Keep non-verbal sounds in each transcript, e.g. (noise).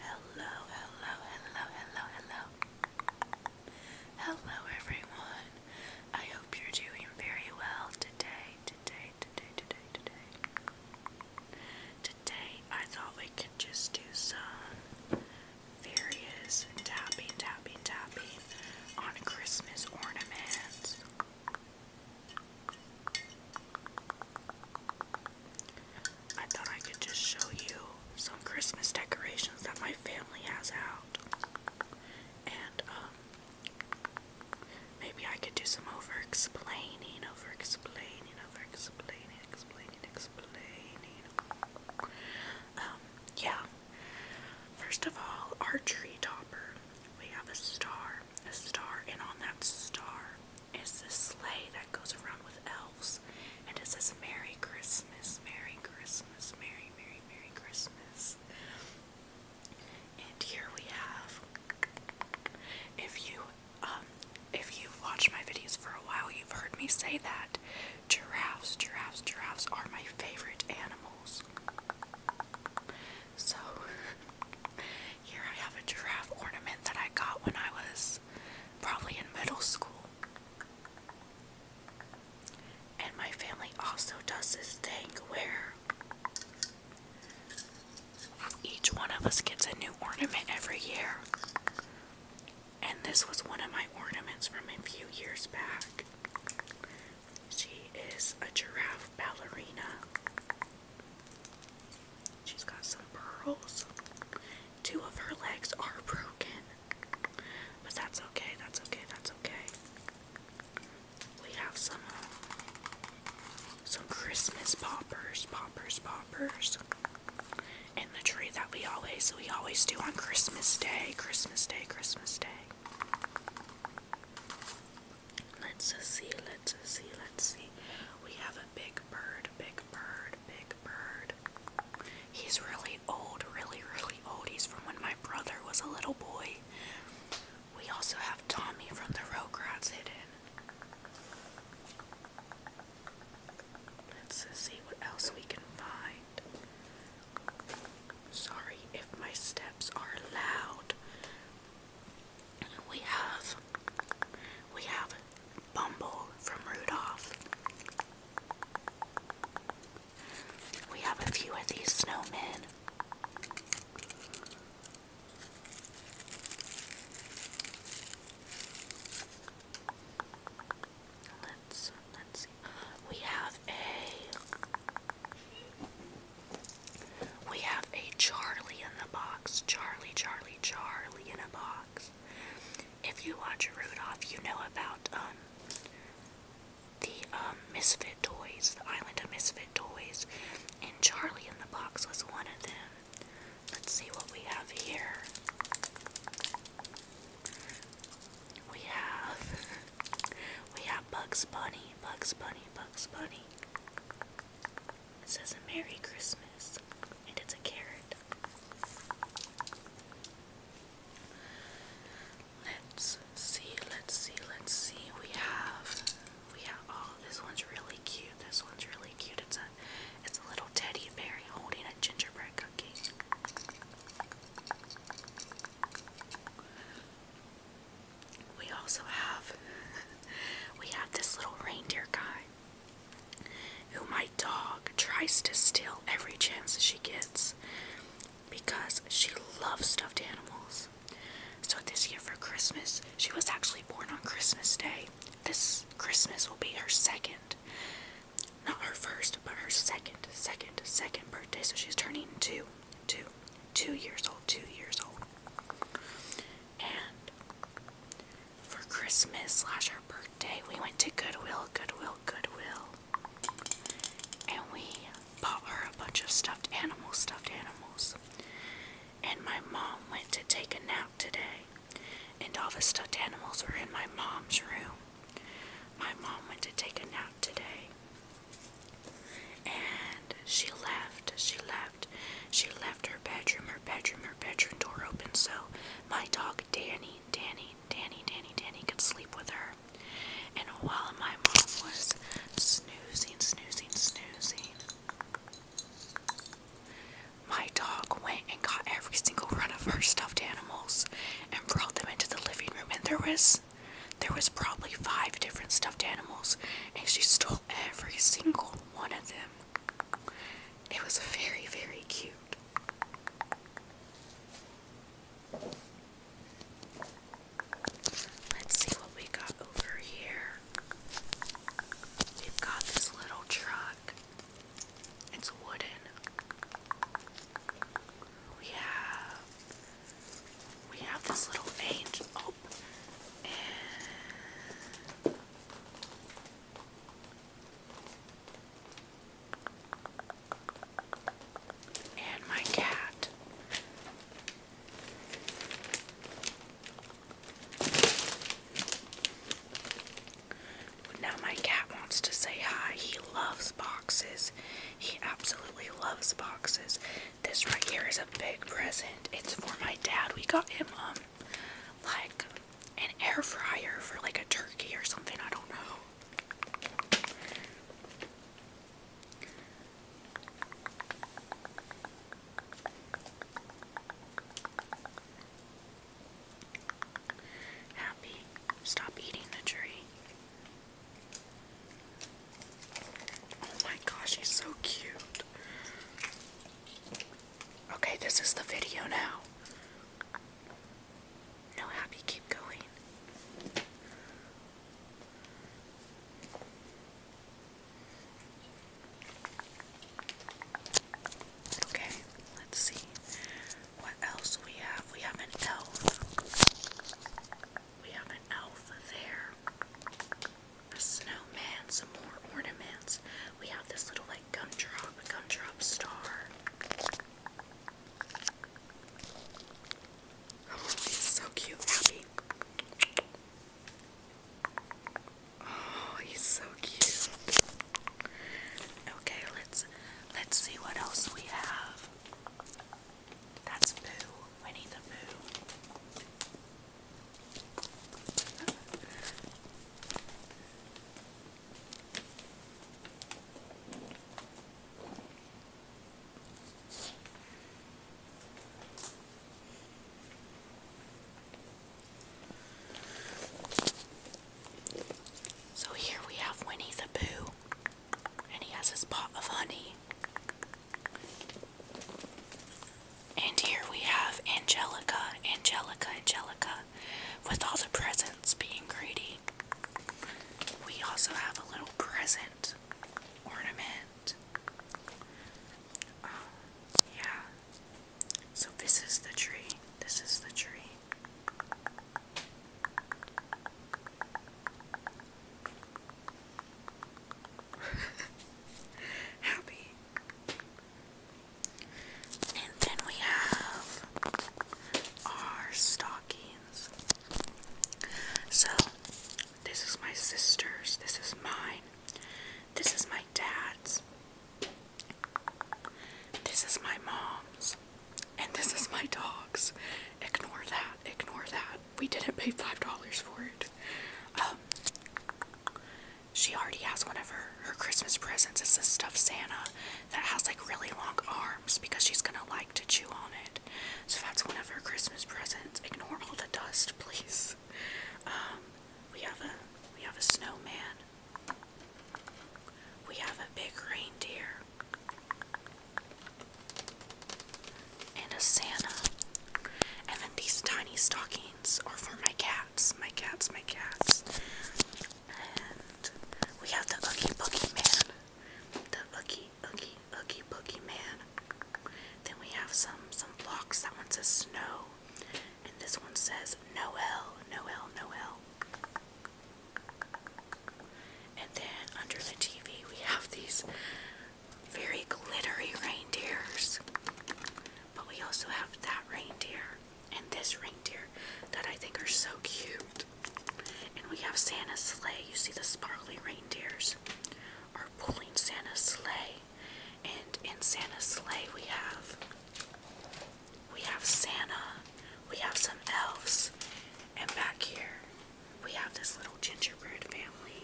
Hello, hello, hello, hello, hello. Hello, everyone. I hope you're doing very well today, today, today, today, today. Today, I thought we could just do some various tapping, tapping, tapping on Christmas ornaments. I thought I could just show you some Christmas decorations that my family has out. And, um, maybe I could do some over explaining, over explaining, over explaining, explaining, explaining. Um, yeah. First of all, our tree topper. We have a star, a star, and on that star, it's this sleigh that goes around with elves, and it says Merry Christmas, Merry Christmas, Merry, Merry, Merry Christmas. And here we have, if you, um, if you've my videos for a while, you've heard me say that giraffes, giraffes, giraffes are my favorite animals. So here I have a giraffe ornament that I got when I was probably in middle school. And my family also does this thing where each one of us gets a new ornament every year. And this was one of my ornaments from a few years back. She is a giraffe ballerina. She's got some pearls. Two of her legs are broken. But that's okay, that's okay, that's okay. We have some uh, some Christmas poppers, poppers, poppers. In the tree that we always we always do on Christmas Day, Christmas Day, Christmas Day. Let's see, let's see, let's see. We have a big bird, big bird, big bird. He's really old, really, really old. He's from when my brother was a little boy. We also have Tommy from the Rograts hidden. Let's see what else we can find. Sorry if my steps are loud. We have we have Bumble from Rudolph. We have a few of these snowmen. Let's let's see. We have a we have a Charlie in the box. Charlie, Charlie, Charlie in a box. If you watch Rudolph, you know about um the um, Misfit Toys, the Island of Misfit Toys, and Charlie in the Box was one of them. Let's see what we have here we have we have Bugs Bunny, Bugs Bunny, Bugs Bunny. It says a Merry Christmas and it's a carrot. Let's see, let's see, let's see. We have we have oh this one's really cute. This one's really cute. It's a it's a little teddy bear holding a gingerbread cookie. We also have (laughs) we have this little reindeer guy who my dog tries to steal every chance she gets because she loves stuffed animals. So this year for Christmas, she was actually born on Christmas Day. This Christmas will be her second not her first, but her second, second, second birthday. So she's turning two, two, two years old, two years old. And for Christmas slash her birthday, we went to Goodwill, Goodwill, Goodwill. And we bought her a bunch of stuffed animals, stuffed animals. And my mom went to take a nap today. And all the stuffed animals were in my mom's room. My mom went to take a nap today. And she left, she left, she left her bedroom, her bedroom, her bedroom door open so my dog Danny, Danny, Danny, Danny, Danny could sleep with her. And while my mom was snoozing, snoozing, snoozing, my dog went and got every single one of her stuffed animals and brought them into the living room and there was there was probably five different stuffed animals and she stole every single one of them. It was very, very cute. Let's see what we got over here. We've got this little truck. It's wooden. We have we have this little angel oh, and my cat. Now my cat wants to say hi. He loves boxes. He absolutely loves boxes. This right here is a big present. It's for my dad. We got him um like an air fryer for like a turkey or something. I don't know. Happy, stop eating the tree. Oh my gosh, he's so cute. Okay, this is the video now. No, Happy, keep going. Okay, let's see what else we have. We have an elf. We have an elf there. A snowman, some more ornaments. We have this little like gumdrop, gumdrop star. Oh, he's so cute, Happy. Oh, he's so cute. Okay, let's let's see what else we have. That's Boo, Winnie the Boo. So here we have Winnie the Pooh, and he has his pot of honey. And here we have Angelica, Angelica, Angelica, with all the presents being greedy. We also have a little present ornament. Um, yeah. So this is the tree. This is the tree. (laughs) Happy. And then we have our stockings. So this is my sister's, this is mine. This is my dad's. This is my mom's. And this is my dog's. Ignore that. Ignore that. We didn't pay $5 for it. Um, she already has one of her, her Christmas presents. It's this stuffed Santa that has like really long arms because she's gonna like to chew on it. So that's one of her Christmas presents. Ignore all the dust, please. Um, we have a we have a snowman. We have a big reindeer. And a Santa. And then these tiny stockings are for my cats. My cats, my cats. And we have the Oogie Boogie Man. The Oogie Oogie Oogie Oogie Boogie Man. Then we have some some blocks. That one says snow. And this one says Noel, Noel, Noel. And then under the TV we have these very glittery reindeers. But we also have that reindeer and this reindeer that I think are so cute. And we have Santa's sleigh. You see the sparkly reindeers are pulling Santa's sleigh. And in Santa's sleigh we have we have Santa, we have some elves, and back here we have this little gingerbread family.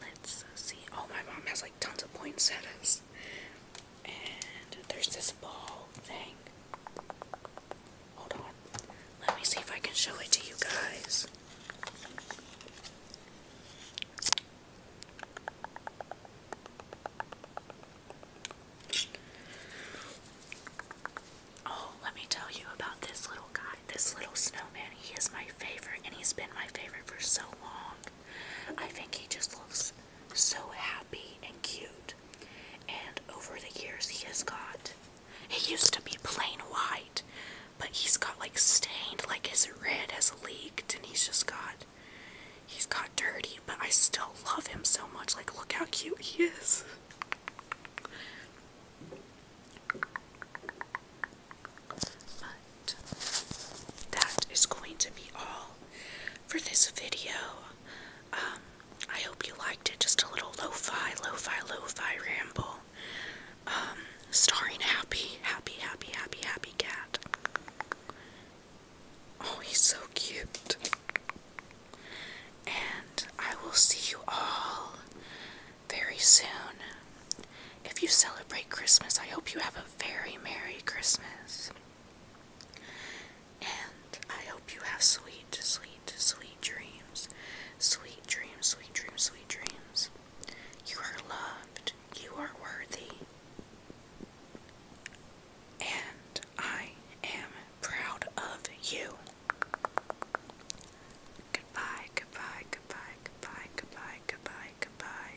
Let's see. Oh, my mom has like tons of poinsettias. And there's this ball thing. Hold on. Let me see if I can show it to you guys. Oh, let me tell you about this little guy, this little snowman. He is my favorite, and he's been my favorite for so long. I think he just looks so happy and cute. And over the years, he has got. He used to be plain white, but he's got like stained, like his red has leaked, and he's just got. He's got dirty, but I still love him so much. Like, look how cute he is. But that is going to be all for this video. Um, I hope you liked it. Just a little lo-fi, lo-fi, lo-fi ramble. Um, starring Happy, Happy, Happy, Happy, Happy Cat. Oh, he's so cute. And I will see you all very soon. If you celebrate Christmas, I hope you have a very Merry Christmas. And I hope you have sweet, sweet, sweet dreams. Sweet dreams, sweet dreams, sweet dreams. You are loved. You are worthy. And I am proud of you. Goodbye, goodbye, goodbye, goodbye, goodbye, goodbye, goodbye.